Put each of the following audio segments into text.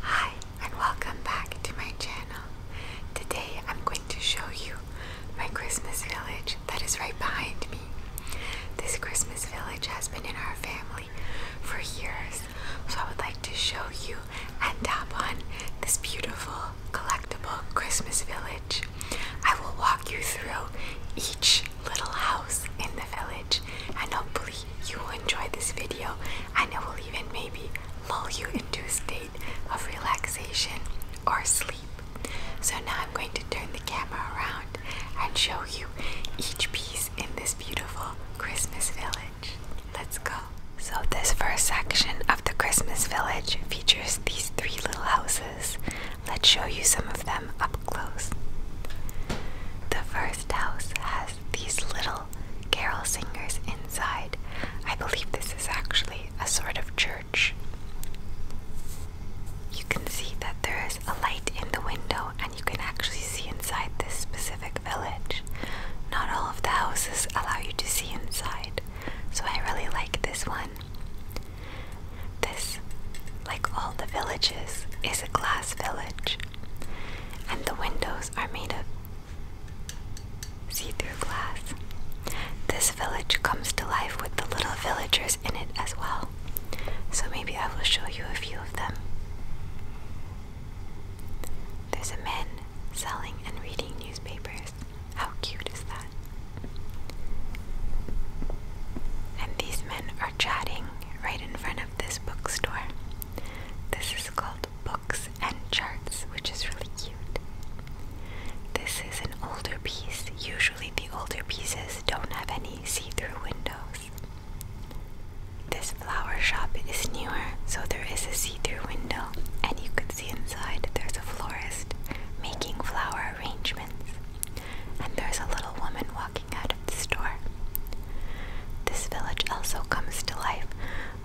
Hi and welcome back to my channel. Today I'm going to show you my Christmas village that is right behind me. This Christmas village has been in our family for years, so I would like to show you and tap on this beautiful collectible Christmas village. I will walk you through each little house in the village and hopefully you will enjoy this video and it will even maybe lull you into a state of relaxation or sleep. So now I'm going to turn the camera around and show you each piece in this beautiful Christmas village. Let's go. So this first section of the Christmas village features these three little houses. Let's show you some of them up close. The first house has these little carol singers inside. I believe this is actually a sort of church. You can see that there is a light in the window, and you can actually see inside this specific village. Not all of the houses allow you to see inside, so I really like this one. This, like all the villages, is a glass village, and the windows are made of see through glass. This village comes to life with the little villagers in it as well. So maybe I will show you a few of them. There's a man selling and reading newspapers. How cute is that? And these men are chatting right in front of this bookstore. This is called Books and Charts, which is really cute. This is an older piece. Usually, the older pieces don't have any see through windows. This flower shop is newer, so there is a see through window, and you can see inside there's a florist making flower arrangements. And there's a little woman walking out of the store. This village also comes to life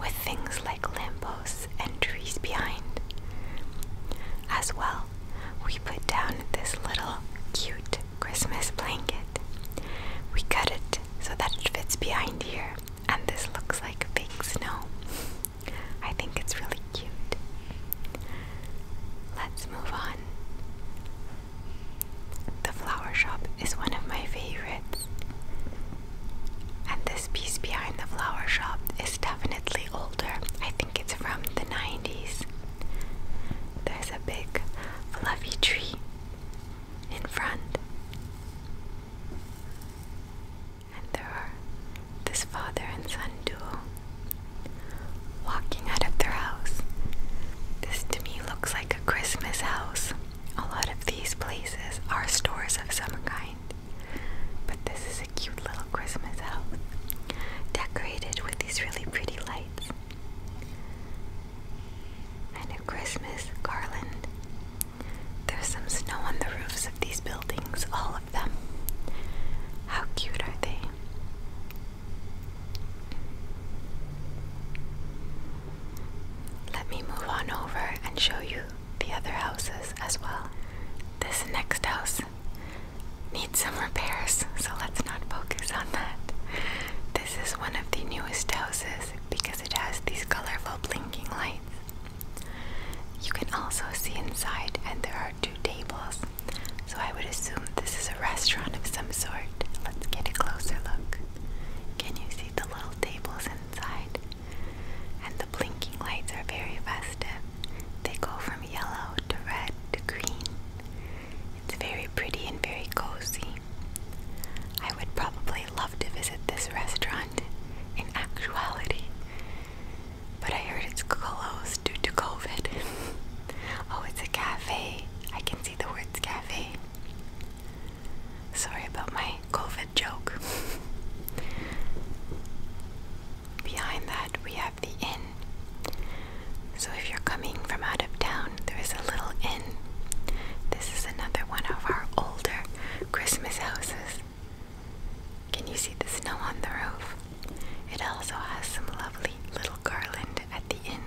with things like lampposts and trees behind. As well, we put down this little cute Christmas blanket. We cut it so that it fits behind here, and this looks like fake snow. I think it's really cute. Let's move on. The flower shop is one of my favorites. And this piece behind the flower shop is definitely older. I think it's from the 90s. There's a big fluffy tree in front. And there are this father and son duo walking out of their house. This to me looks like a Christmas house. A lot of these places are stores of some kind, but this is a cute little Christmas house decorated with these really pretty lights and a Christmas garland. There's some snow on the roofs of these buildings, all of them. How cute are they? Let me move on over and show you the other houses as well. This next house needs some repairs, so let's not focus on that. This is one of the newest houses because it has these colorful blinking lights. You can also see inside, and there are two tables, so I would assume this is a restaurant of some sort. Let's get a closer look. Can you see the little tables inside? And the blinking lights are very festive. They go from yellow to red to green. It's very pretty and very cozy. I would probably love to visit this restaurant in actuality, but I heard it's closed due to COVID. oh, it's a cafe. I can see the words cafe. Sorry about my COVID joke. Behind that, we have the inn. So, if you're coming from out of town, there is a little inn. This is another one of our older Christmas houses. Can you see the snow on the roof? It also has some lovely little garland at the inn.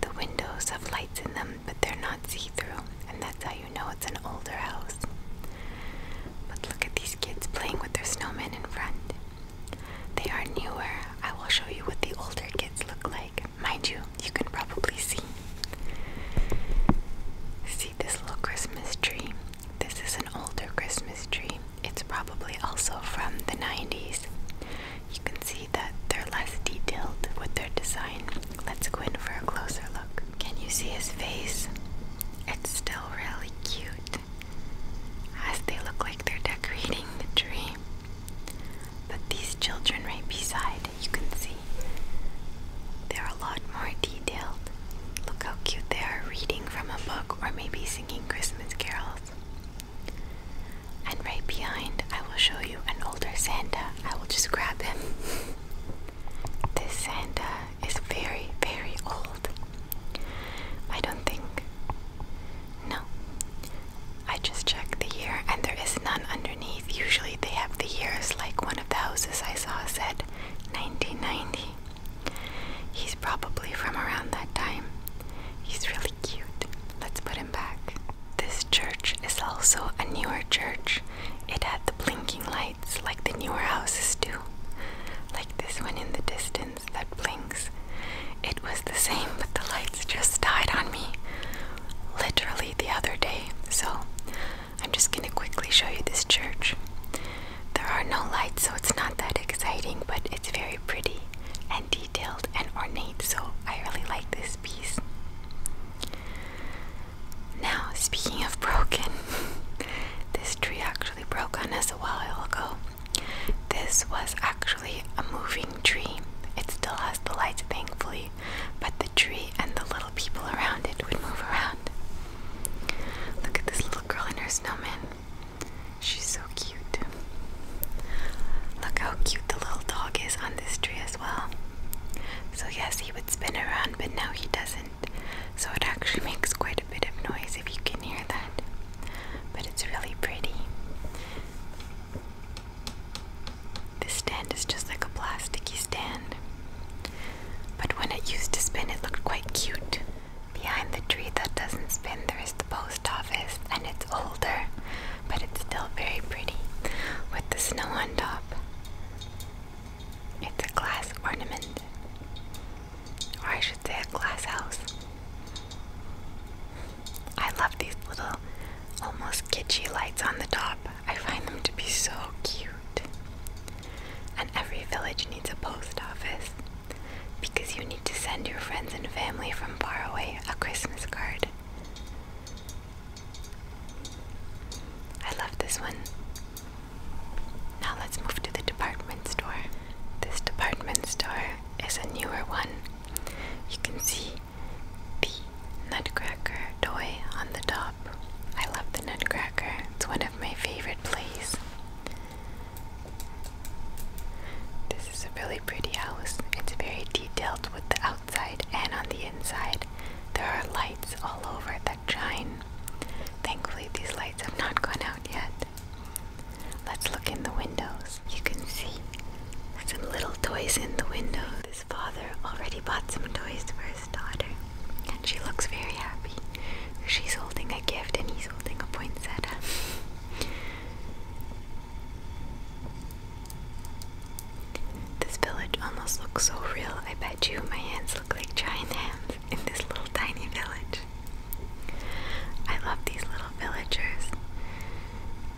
The windows have lights in them, but they're not see through, and that's how you know it's an older house. But look at these kids playing with their snowmen in front. They are newer. I will show you what the older kids look like. Mind you, you can probably see. See this little Christmas tree? This is an older Christmas tree. It's probably also from the 90s you can see that they're less detailed with their design. Let's go in for a closer look. Can you see his face? It's still really cute as they look like they're decorating the tree. But these children right beside, you can see they're a lot more detailed. Look how cute they are reading from a book or maybe singing Christmas carols. And right behind, I will show you an older Santa. I will just grab him. this Santa is very, very old. I don't think. No. I just checked the year and there is none underneath. Usually they have the years, like one of the houses I saw said 1990. He's probably from around that time. He's really cute. Let's put him back. This church is also a newer church. It had the blinking lights like the newer houses do. Like this one in the distance that blinks. It was the same, but the lights just died on me literally the other day. So I'm just gonna quickly show you this church. There are no lights, so it's not that exciting, but it's very pretty and detailed and ornate, so I really like this piece. Now, speaking of broken, this tree actually broke on us a while ago. This was actually a moving tree. It still has the lights, thankfully, but the tree and the little people around it would move around. Look at this little girl and her snowman. She's so cute. Look how cute the little dog is on this tree as well. So, yes, he would spin around, but now he doesn't. So, it actually makes quite a bit of noise if you can hear that. But it's really pretty. This stand is just like a plasticky stand. But when it used to spin, it looked quite cute. Behind the tree that doesn't spin, there is post office and it's older, but it's still very pretty with the snow on top. It's a glass ornament, or I should say, a glass house. I love these little, almost kitschy lights on the top. I find them to be so cute. And every village needs a post office because you need to send your friends and family from far away a Christmas card. I love this one. Now let's move to the department store. This department store is a newer one. You can see the Nutcracker toy on the top. I love the Nutcracker, it's one of my favorite plays. This is a really pretty house. It's very detailed with the outside and on the inside. There are lights all over that shine. Thankfully, these lights have not gone out yet. Let's look in the windows. You can see some little toys in the window. This father already bought some toys for his daughter, and she looks very happy. She's holding a gift, and he's holding a poinsettia. This village almost looks so real. I bet you my hands look like giant hands in this little tiny village. I love these little villagers.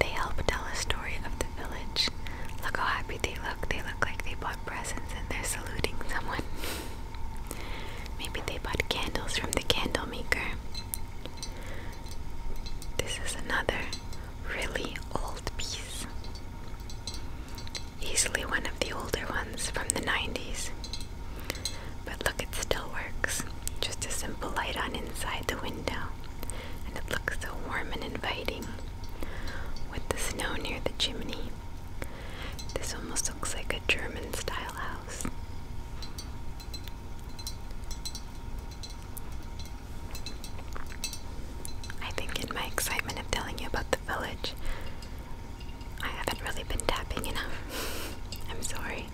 They help tell a story of the village. Look how happy they look. They look like they bought presents and they're saluting someone. Maybe they bought candles from the candle maker. This is another really old piece. Easily one of the older ones from the 90s. But look, it still works. Just a simple light on inside the window. And it looks so warm and inviting with the snow near the chimney. This almost looks like a German style house. I think in my excitement of telling you about the village, I haven't really been tapping enough. I'm sorry.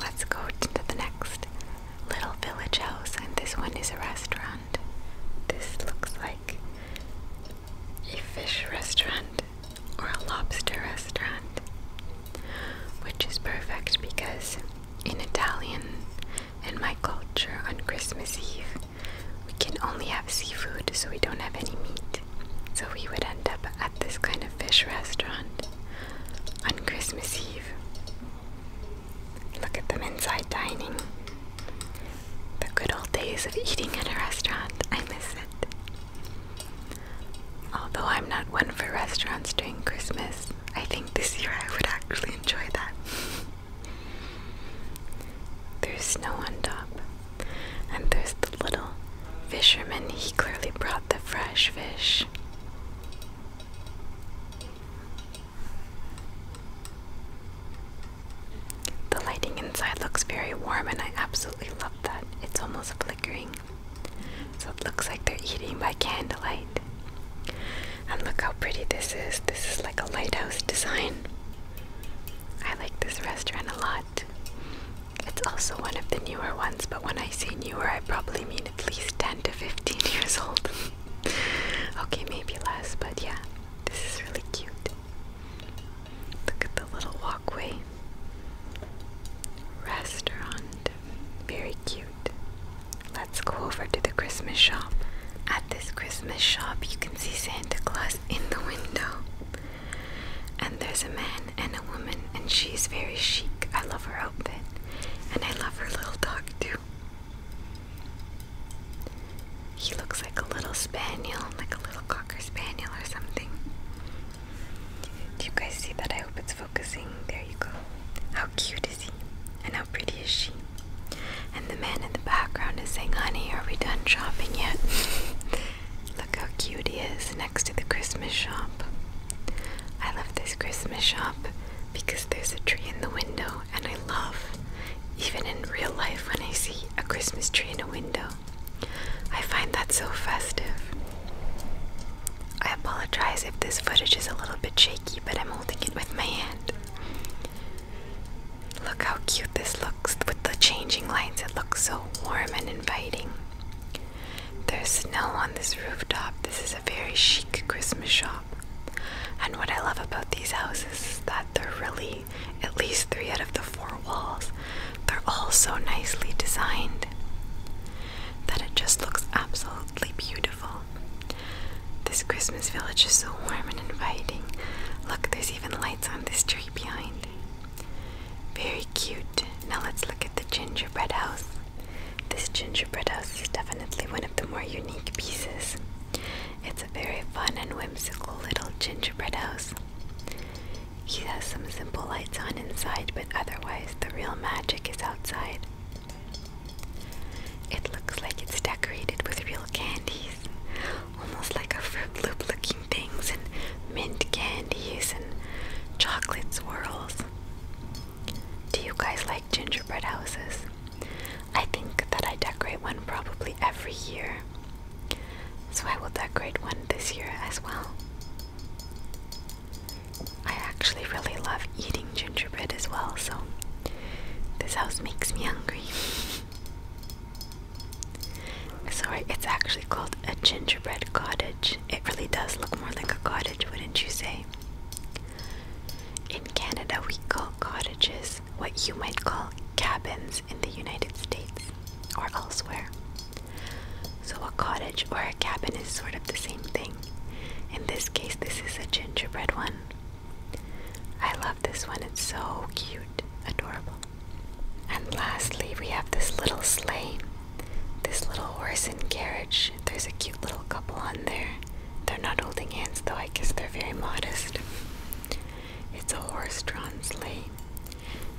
Let's go to the next little village house, and this one is a restaurant. This looks like a fish restaurant or a lobster restaurant, which is perfect because in Italian in my culture on Christmas Eve, we can only have seafood, so we don't have any meat. So we would end up at this kind of fish restaurant on Christmas Eve. Look at them inside dining. The good old days of eating at a restaurant, I miss it. Although I'm not one for restaurants during Christmas, I think this year I would actually enjoy that. there's snow on top, and there's the little fisherman. He clearly brought the fresh fish. The lighting inside looks very warm, and I absolutely love that. It's almost flickering. So it looks like they're eating by candlelight. And look how pretty this is. This is like a lighthouse design. I like this restaurant a lot. It's also one of the newer ones, but when I say newer, I probably mean at least 10 to 15 years old. okay, maybe less, but yeah, this is really cute. Look at the little walkway. Restaurant. Very cute. Let's go over to the Christmas shop. At this Christmas shop, you can see Santa Claus in the window. And there's a man and a woman, and she's very chic. I love her outfit. And I love her little dog too. He looks like a little spaniel, like a little cocker spaniel or something. Do you guys see that? I hope it's focusing. There you go. How cute is he? And how pretty is she? And the man in the background is saying, Honey, are we done shopping yet? Look how cute he is next to the Christmas shop. I love this Christmas shop because there's a tree in the window and I love even in real life when I see a Christmas tree in a window. I find that so festive. I apologize if this footage is a little bit shaky, but I'm holding it with my hand. Look how cute this looks with the changing lights, it looks so warm and inviting. There's snow on this rooftop. This is a very chic Christmas shop. And what I love about these houses is that they're really at least three out of the four walls. They're all so nicely designed that it just looks absolutely beautiful. This Christmas village is so warm and inviting. Look, there's even lights on this tree behind. Very cute. Now let's look at the gingerbread house. This gingerbread house is definitely one of the more unique pieces. It's a very fun and whimsical little gingerbread house. He has some simple lights on inside, but otherwise, the real magic is outside. It looks like it's decorated with real candies, almost like a Fruit Loop looking things, and mint candies and chocolate swirls. Do you guys like gingerbread houses? I think that I decorate one probably every year. So I will decorate one this year as well. I actually really love eating gingerbread as well, so this house makes me hungry. Sorry, it's actually called a gingerbread cottage. It really does look more like a cottage, wouldn't you say? In Canada, we call cottages what you might call cabins in the United States or elsewhere. So, a cottage or a cabin is sort of the same thing. In this case, this is a gingerbread one. I love this one, it's so cute, adorable. And lastly, we have this little sleigh, this little horse and carriage. There's a cute little couple on there. They're not holding hands though, I guess they're very modest. It's a horse-drawn sleigh.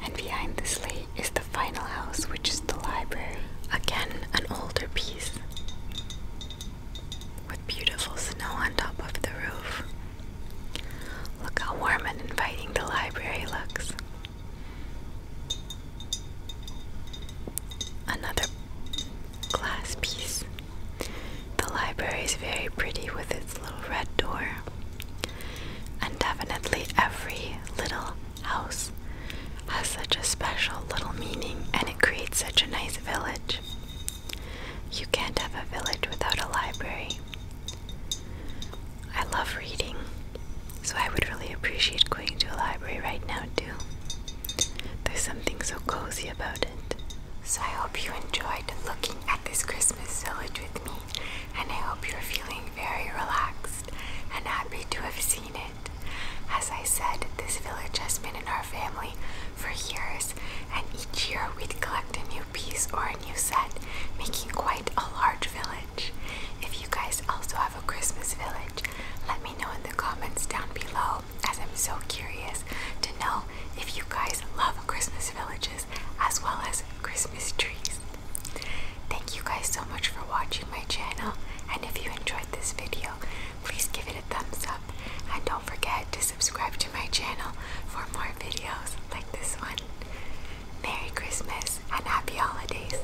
And behind the sleigh is the final house, which is the library. Again, an older piece with beautiful snow on top of the roof. Look how warm and inviting the library looks. Another glass piece the library is very pretty with its little red door. And definitely every little house has such a special little meaning and it creates such a nice village. You can't have a village without a library. I love reading, so I would really appreciate going to a library right now, too. There's something so cozy about it. So I hope you enjoyed looking at this Christmas village with me, and I hope you're feeling very relaxed and happy to have seen it. As I said, this village has been in our family for years, and each year we'd collect a new piece or a new set, making quite a large village. If you guys also have a Christmas village, let me know in the comments down below, as I'm so curious to know if you guys love Christmas villages as well as Christmas trees. Thank you guys so much for watching my channel and if you enjoyed this video, please give it a thumbs up and don't forget to subscribe to my channel for more videos like this one. Merry Christmas and Happy Holidays!